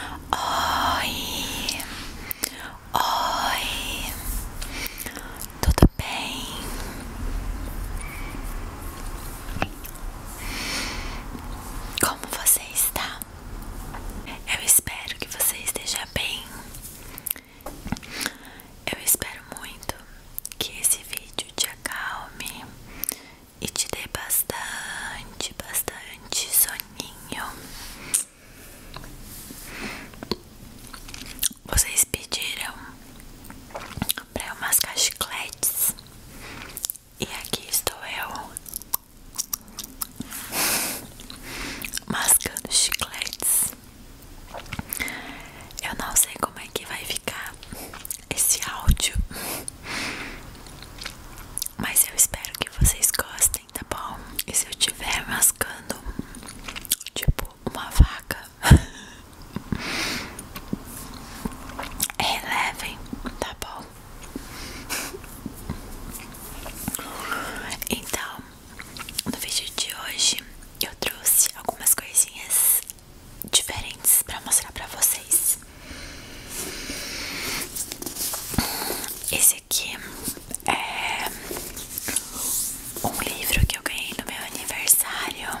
Oi, oi, tudo bem? Como você está? Eu espero que você esteja bem. Eu espero muito que esse vídeo te acalme e te dê bastante, bastante sono. Vocês pediram para eu mascar chicletes e aqui estou eu mascando chicletes. Eu não sei como é que vai ficar esse áudio, mas eu espero que vocês gostem gostem, tá bom? E se eu estiver mascando tipo uma vaca, relevem, é tá bom? Então, no vídeo de hoje eu trouxe algumas coisinhas diferentes para mostrar para vocês. Esse aqui é um livro que eu ganhei no meu aniversário.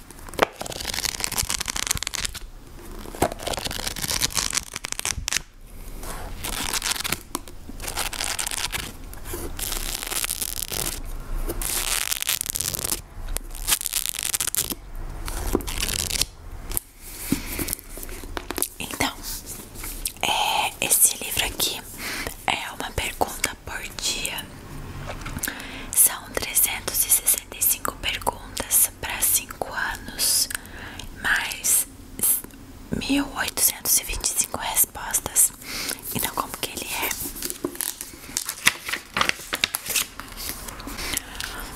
Então, é, esse livro aqui é uma pergunta por dia. São trezentos e e sessenta cinco perguntas para 5 anos, mais 1825 respostas. Então, como que ele é?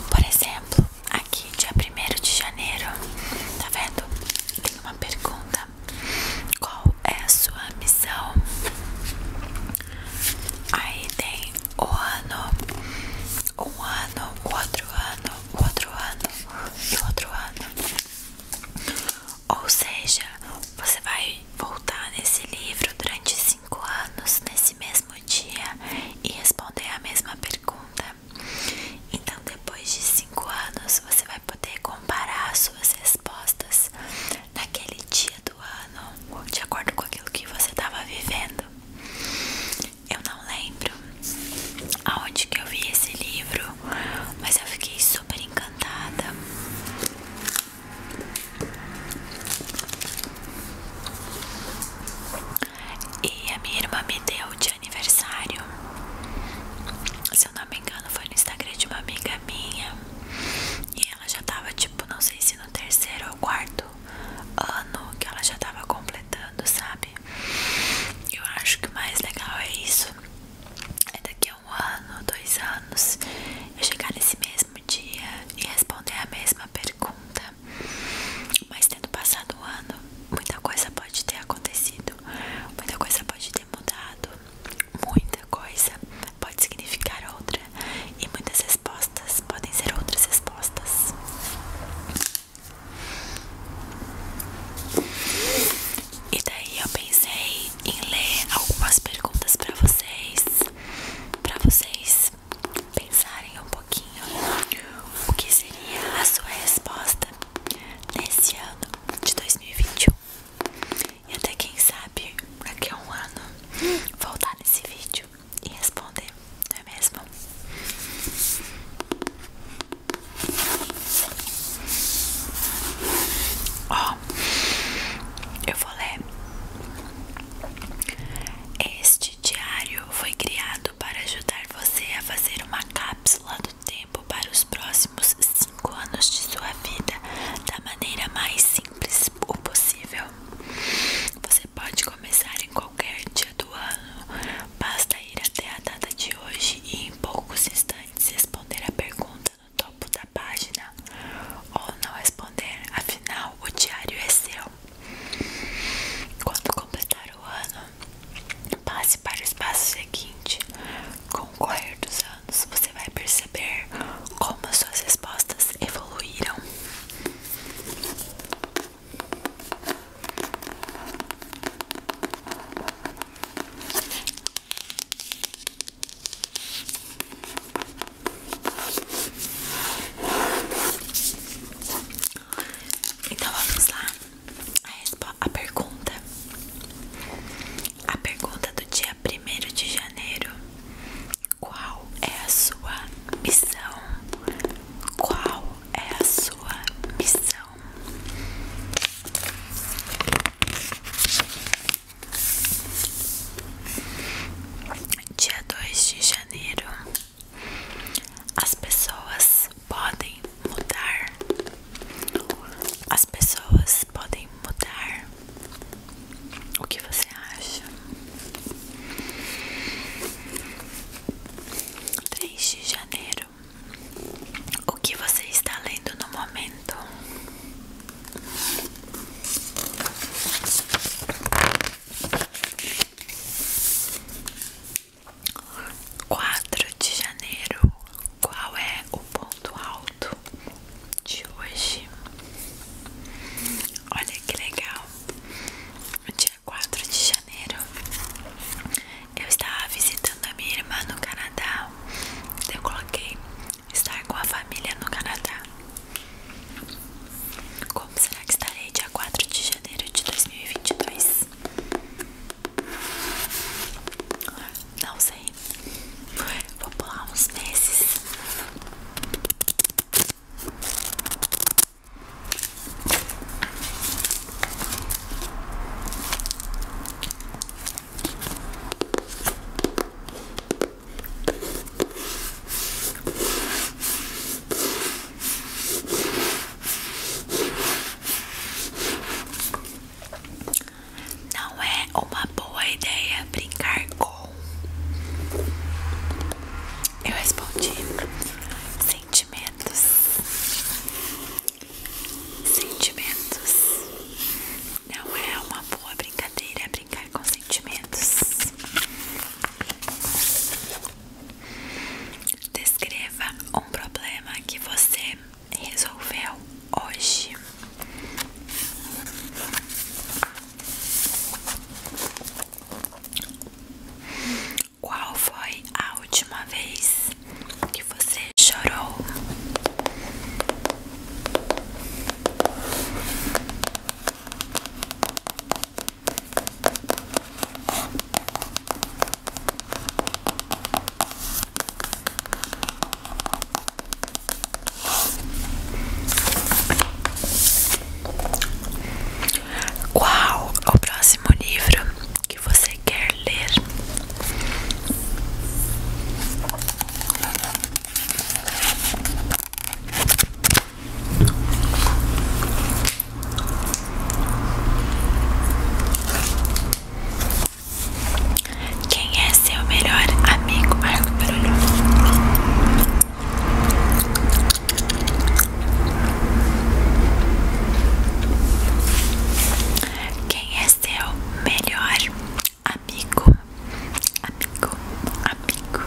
Por exemplo, aqui, dia 1 de janeiro, tá vendo? Tem uma pergunta: Qual é a sua missão? Aí tem o ano, um ano, o outro ano, o outro ano e o outro ano. Ou seja, você vai voltar nesse livro durante cinco anos, nesse mesmo dia, e responder a mesma pergunta. Então, depois de cinco anos, você vai poder comparar suas respostas naquele dia do do ano, de acordo com aquilo que você estava vivendo. Eu não lembro aonde que eu vi esse livro, mas eu fiquei super encantada. E a minha irmã me deu de aniversário. Se eu não me engano, foi no Instagram de uma amiga minha. E ela já tava, tipo, não sei se no terceiro ou quarto ano que ela já tava completando, sabe? Eu acho que o mais legal é isso. É daqui a um ano, dois anos, eu chegar nesse mesmo dia e responder a mesma pergunta. Mas tendo passado o ano, muita coisa pode ter acontecido, muita coisa pode ter mudado, muita coisa pode significar outra e muitas respostas podem ser outras respostas. E daí eu pensei em ler algumas perguntas para vocês, para vocês pensarem um pouquinho o que seria a sua resposta nesse ano de 2021. E até quem sabe daqui que um ano voltar nesse vídeo vídeo e responder, não é mesmo? Ó, eu vou ler. Este diário foi criado para ajudar você a fazer uma cápsula do tempo para os próximos cinco anos de sua vida da maneira mais simples possível. Você pode começar em qualquer dia do ano, basta ir até a data de hoje e em poucos instantes responder a pergunta no topo da página ou não responder, afinal o diário é seu. Quando completar o ano, passe para o espaço seguinte. Com o correr dos anos, você vai perceber como suas respostas evoluíram. Então vamos lá. A, a pergunta. A pergunta do dia primeiro de janeiro qual é a sua missão? Qual é a sua missão? Dia 2 de janeiro. As pessoas podem mudar. As pessoas podem mudar o que você acha? Três de janeiro. O que você está lendo no momento? Quatro de janeiro. Qual é o ponto alto de hoje? Olha que legal no dia 4 de janeiro, eu estava visitando a minha irmã no Canadá. Eu coloquei estar com a família no Canadá. Como será que estarei dia 4 de janeiro de 2022? Não sei. Vou pular uns meses. Não é uma boa ideia brincar com eu respondi sentimentos. Sentimentos. Não é uma boa brincadeira brincar com sentimentos. Descreva um problema que você resolveu hoje. Qual foi a última vez que você chorou? Qual o próximo livro que você quer ler? Quem é seu melhor amigo? Marco que barulho. Quem é seu melhor amigo? Amigo, amigo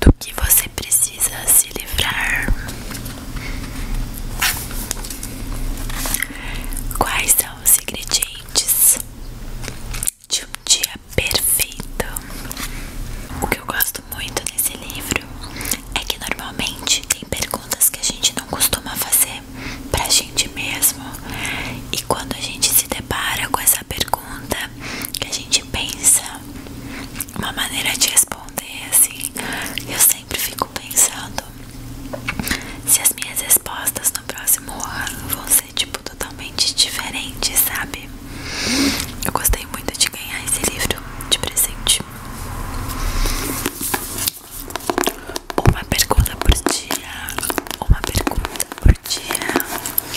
do que você precisa se livrar. Quais são os ingredientes de um dia perfeito? O que eu gosto muito nesse livro é que normalmente tem perguntas que a gente não costuma fazer pra gente mesmo, e quando a gente se depara com essa pergunta que a gente pensa, uma maneira de responder assim, eu sempre fico pensando se as minhas respostas no próximo ano vão ser tipo totalmente diferentes, sabe? Eu gostei muito de ganhar esse livro de presente. Uma pergunta por dia, uma pergunta por dia.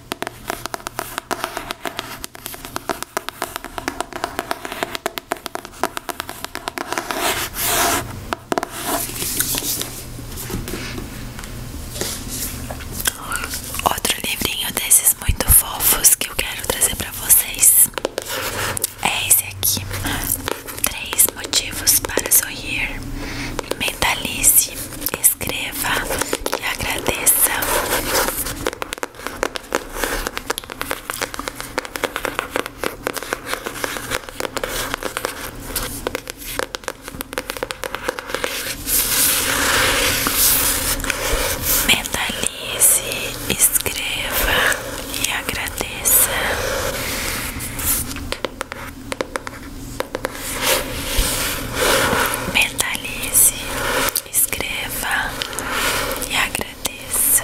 Outro livrinho desses muito fofos que eu quero trazer para vocês é esse aqui: Três motivos para sorrir. Mentalize escreva e agradeça. Mentalize, escreva e agradeça. Mentalize, escreva e agradeça.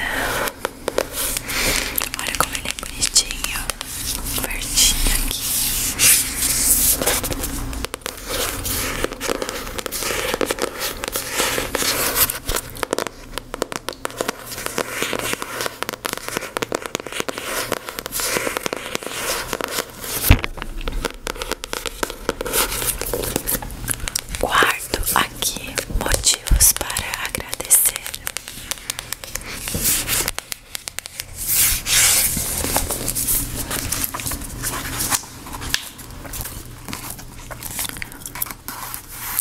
Olha como ele é bonitinho, verdinho aqui. Quarto aqui motivos para agradecer.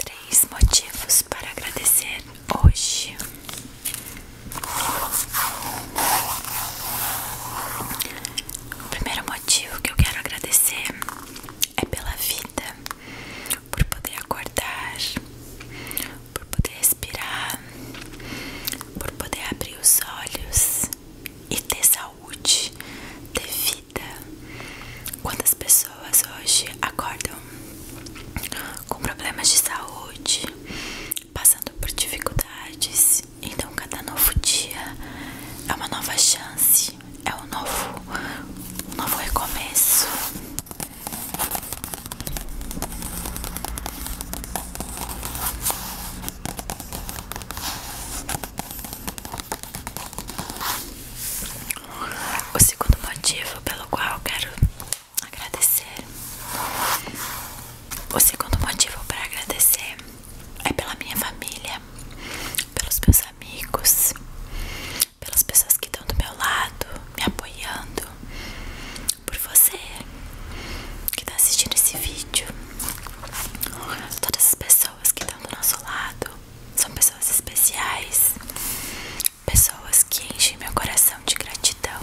Três motivos para agradecer hoje. O primeiro motivo que eu quero agradecer é pela vida, por poder acordar, por poder respirar, por poder abrir os olhos e ter saúde, ter vida. Quantas pessoas hoje acordam com problemas de saúde, passando por dificuldades. Então, cada novo dia é uma nova chance, é um novo, um novo recomeço. O segundo motivo pelo qual quero agradecer o segundo motivo para agradecer é pela minha família, pelos meus amigos, pelas pessoas que estão do meu lado, me apoiando, por você que está assistindo esse vídeo. Todas as pessoas que estão do nosso lado são pessoas especiais, pessoas que enchem meu coração de gratidão,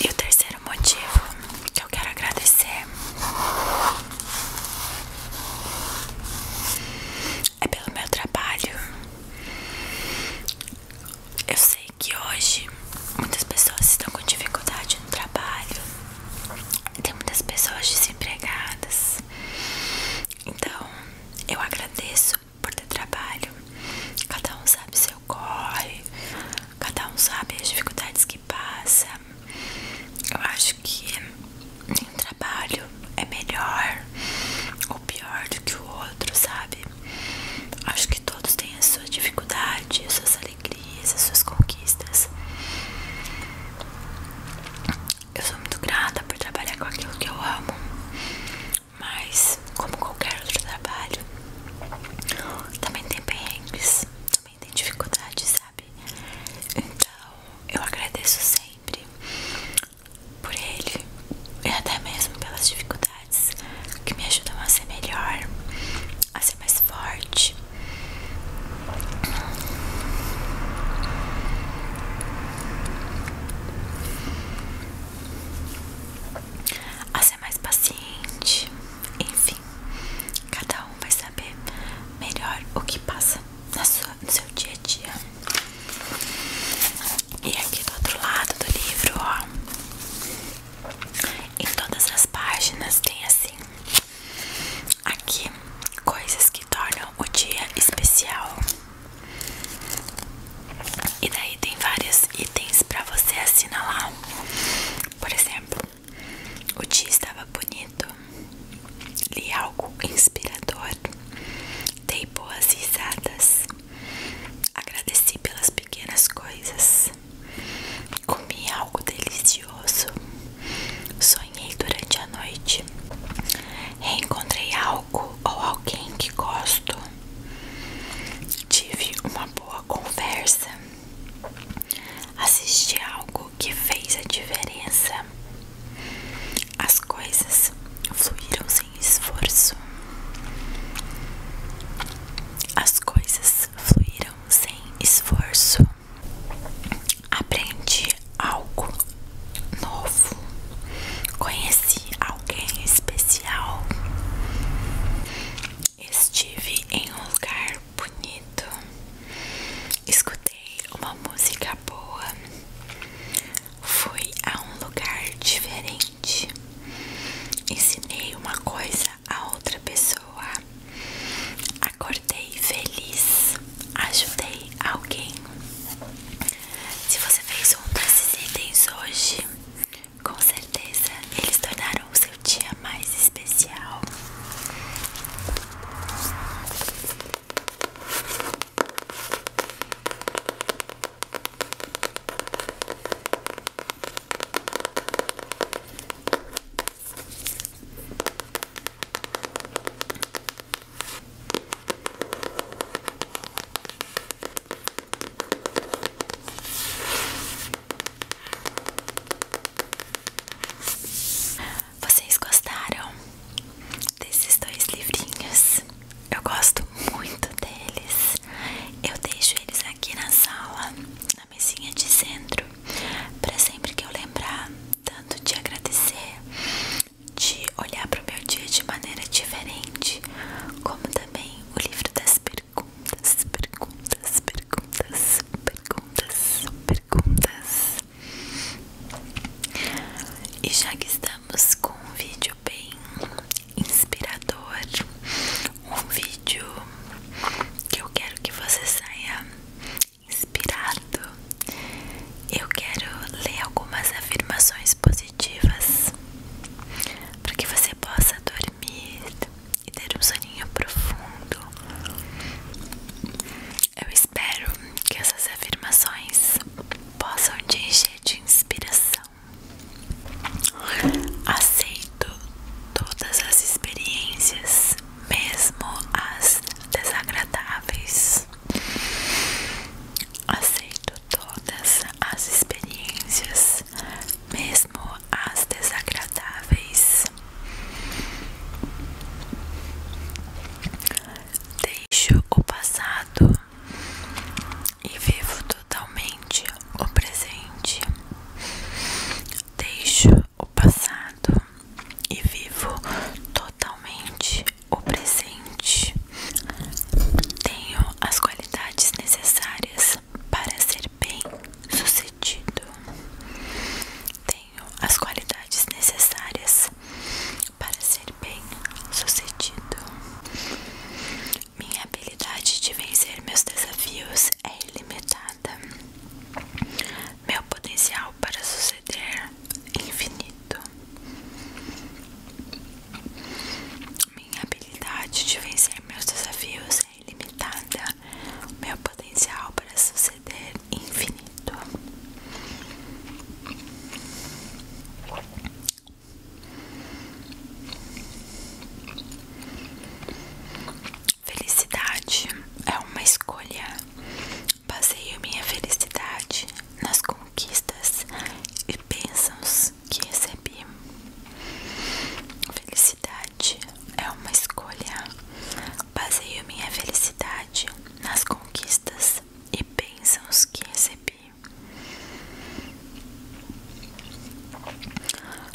E o terceiro motivo que eu quero agradecer é pelo meu trabalho. Eu sei que hoje muitas pessoas estão com dificuldade no trabalho, tem muitas pessoas desempregadas, então, eu agradeço por ter trabalho. Cada um sabe seu corre, cada um sabe as dificuldades que passa. Eu acho que nenhum trabalho é melhor ou pior do que o outro, sabe? Acho que todos têm as suas dificuldades, as suas alegrias, as suas conquistas. Eu sou muito grata por trabalhar com aquilo que eu amo, mas como qualquer outro trabalho, também tem perrengues, também tem dificuldades, sabe? Então eu agradeço sempre por ele e até mesmo pelas dificuldades que me ajudam a ser melhor, a ser mais forte, a ser mais paciente, enfim, cada um vai saber melhor o que passa na sua, no seu dia a dia. E aqui do outro lado do livro, ó, em todas as páginas tem assim, aqui coisas que tornam o dia especial. E daí tem vários itens para você assinalar. Por exemplo, o dia estava bonito. Li algo inspirador. Dei boas risadas. Agradeci pelas pequenas coisas. Comi algo delicioso. Sonhei durante a noite. Reencontrei algo ou alguém que gosto. Tive uma boa conversa. Assisti algo que fez a diferença. As coisas fluiram sem esforço. As coisas fluiram sem esforço aprendi algo novo, conheci alguém especial, estive em um lugar bonito, escutei uma música boa, fui a um lugar diferente, ensinei uma coisa a outra pessoa. Acordei feliz ajudei alguém. Se você fez um desses itens hoje, com certeza eles tornaram o seu dia mais especial. Vocês gostaram desses dois livrinhos? Eu gosto muito deles. Eu deixo eles aqui na sala, na mesinha de centro, para sempre que eu lembrar tanto de agradecer, de olhar para o meu dia de maneira diferente, como também o livro das perguntas, perguntas, perguntas, perguntas, perguntas. E já que estamos com um vídeo bem inspirador, um vídeo que eu quero que você saia inspirado, eu quero ler algumas afirmações positivas para que você possa dormir e ter um soninho profundo. Eu espero que essas afirmações possam te encher de inspiração. Aceito todas as experiências, mesmo as desagradáveis. Aceito todas as experiências, mesmo as desagradáveis. Deixo o passado e vivo totalmente o presente. Deixo o passado e vivo totalmente totalmente o presente. Tenho as qualidades necessárias para ser bem sucedido. Tenho as qualidades necessárias para ser bem sucedido. Minha habilidade de vencer meus desafios é ilimitada. Meu potencial para suceder é infinito. Minha habilidade de vencer meus desafios é ilimitada. Meu potencial para suceder é infinito. Felicidade é uma escolha. Baseio minha felicidade nas conquistas e pensões que recebi. Felicidade é uma escolha. Baseio minha felicidade nas conquistas e pensões que recebi.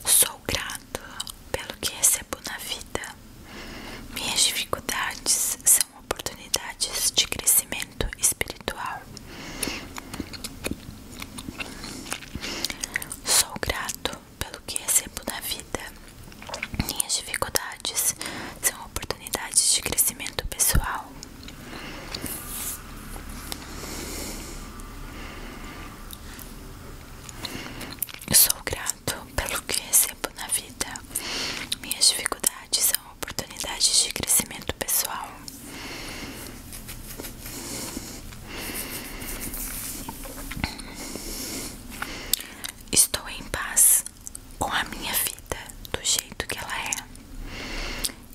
Sou grato pelo que recebo na vida. Minhas dificuldades são são oportunidades de crescimento espiritual. Sou grato pelo que recebo na vida. Minhas dificuldades são oportunidades de crescimento pessoal. Sou grato pelo que recebo na vida. Minhas dificuldades são oportunidades de crescimento pessoal. Estou em paz com a minha vida do jeito que ela é.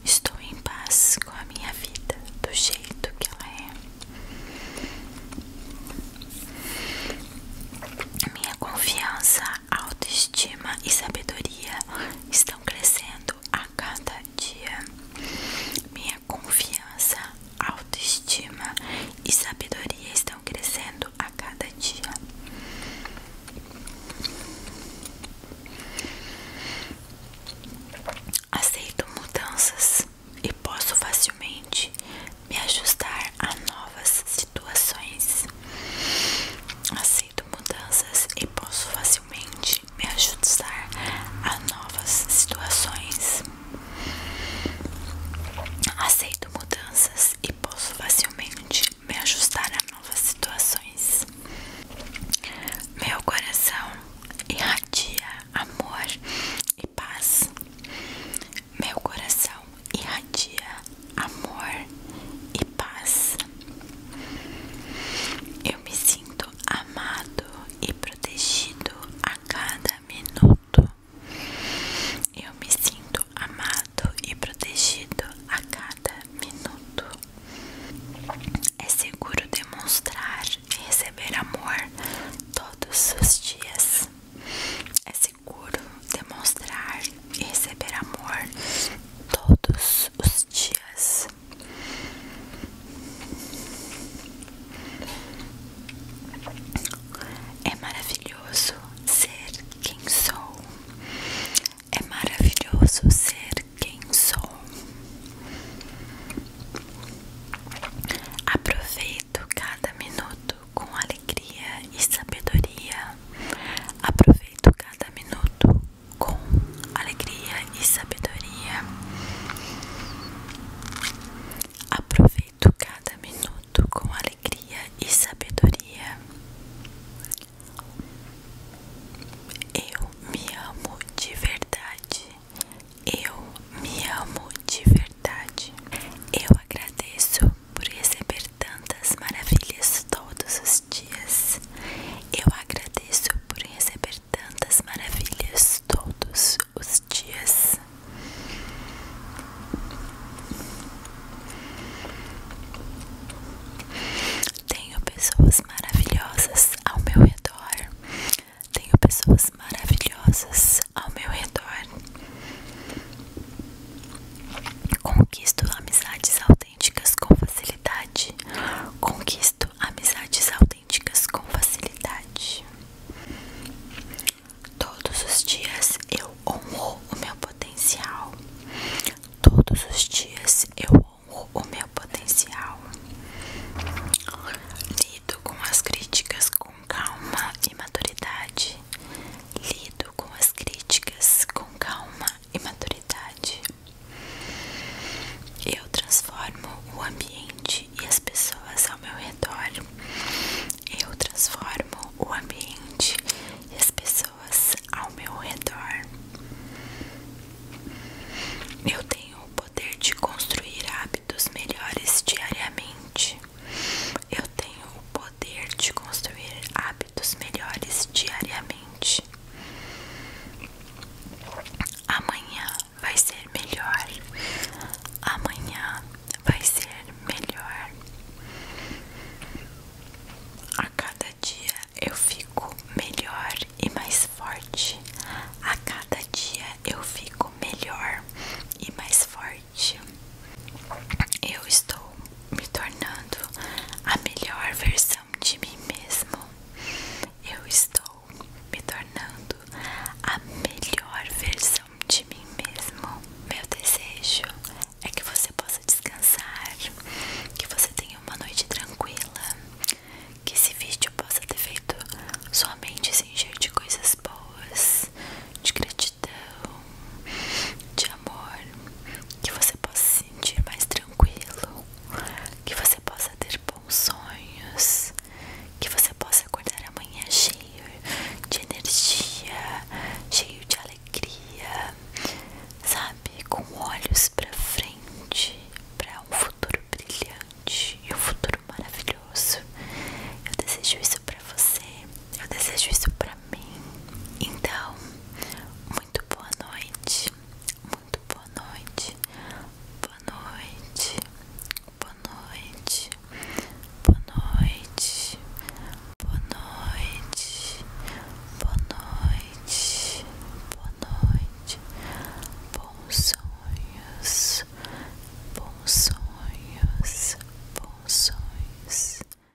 Estou em paz com a minha vida do jeito que ela é. Minha confiança, autoestima e sabedoria estão crescendo a cada dia. Minha confiança, autoestima e sabedoria estão crescendo a cada dia. Aceito mudanças e posso facilmente me ajustar a novas situações. Aceito mudanças e posso facilmente me ajustar a novas situações. Aceito mudanças e posso facilmente me ajustar a novas situações. Meu coração irradia amor e paz. Meu coração irradia amor e paz. Eu me sinto amado e protegido a cada minuto. Eu me sinto amado e protegido a cada minuto. É seguro demonstrar e receber amor todos os dias. É seguro, demonstrar e receber amor todos os dias. É maravilhoso ser quem sou. É maravilhoso ser quem sou. Aproveito cada minuto com alegria e sabedoria. Aproveito cada minuto com alegria e sabedoria. Aproveito cada minuto com alegria e sabedoria. Eu me amo de verdade. Eu me amo de verdade. Eu agradeço por receber tantas maravilhas todos os dias. Eu agradeço por receber tantas maravilhas todos os dias. Tenho pessoas maravilhosas ao meu redor. Tenho pessoas maravilhosas ao meu redor. Conquisto amizades autênticas com facilidade. Conquisto amizades autênticas com facilidade. Todos os dias eu honro o meu potencial. Todos os dias eu honro o meu potencial. Lido com as críticas com calma e maturidade. Lido com as críticas com calma e maturidade. Eu transformo o ambiente e as pessoas ao meu redor. Eu transformo o ambiente e as pessoas ao meu redor. Eu tenho o poder de construir hábitos melhores diariamente. Eu tenho o poder de construir hábitos dos melhores diariamente. Amanhã vai ser melhor. Amanhã vai ser melhor. A cada dia eu fico melhor e mais forte. A cada dia eu fico melhor e mais forte. Eu estou me tornando a melhor versão de mim mesmo. Eu estou me tornando a melhor versão de mim mesmo. Meu desejo é que você possa descansar, que você tenha uma noite tranquila, que esse vídeo possa ter feito sua mente se encher de coisas boas, de gratidão, de amor, que você possa se sentir mais tranquilo, que você possa ter bons sonhos, que você possa acordar amanhã cheio de energia, cheio de alegria, sabe, com olhos para frente, para um futuro brilhante e um futuro maravilhoso. Eu desejo isso para você. Eu desejo isso para então, muito boa noite. Muito Boa noite. Boa noite. Boa noite. Boa noite. Boa noite. Boa noite. Bons sonhos. Bons sonhos. Bons sonhos.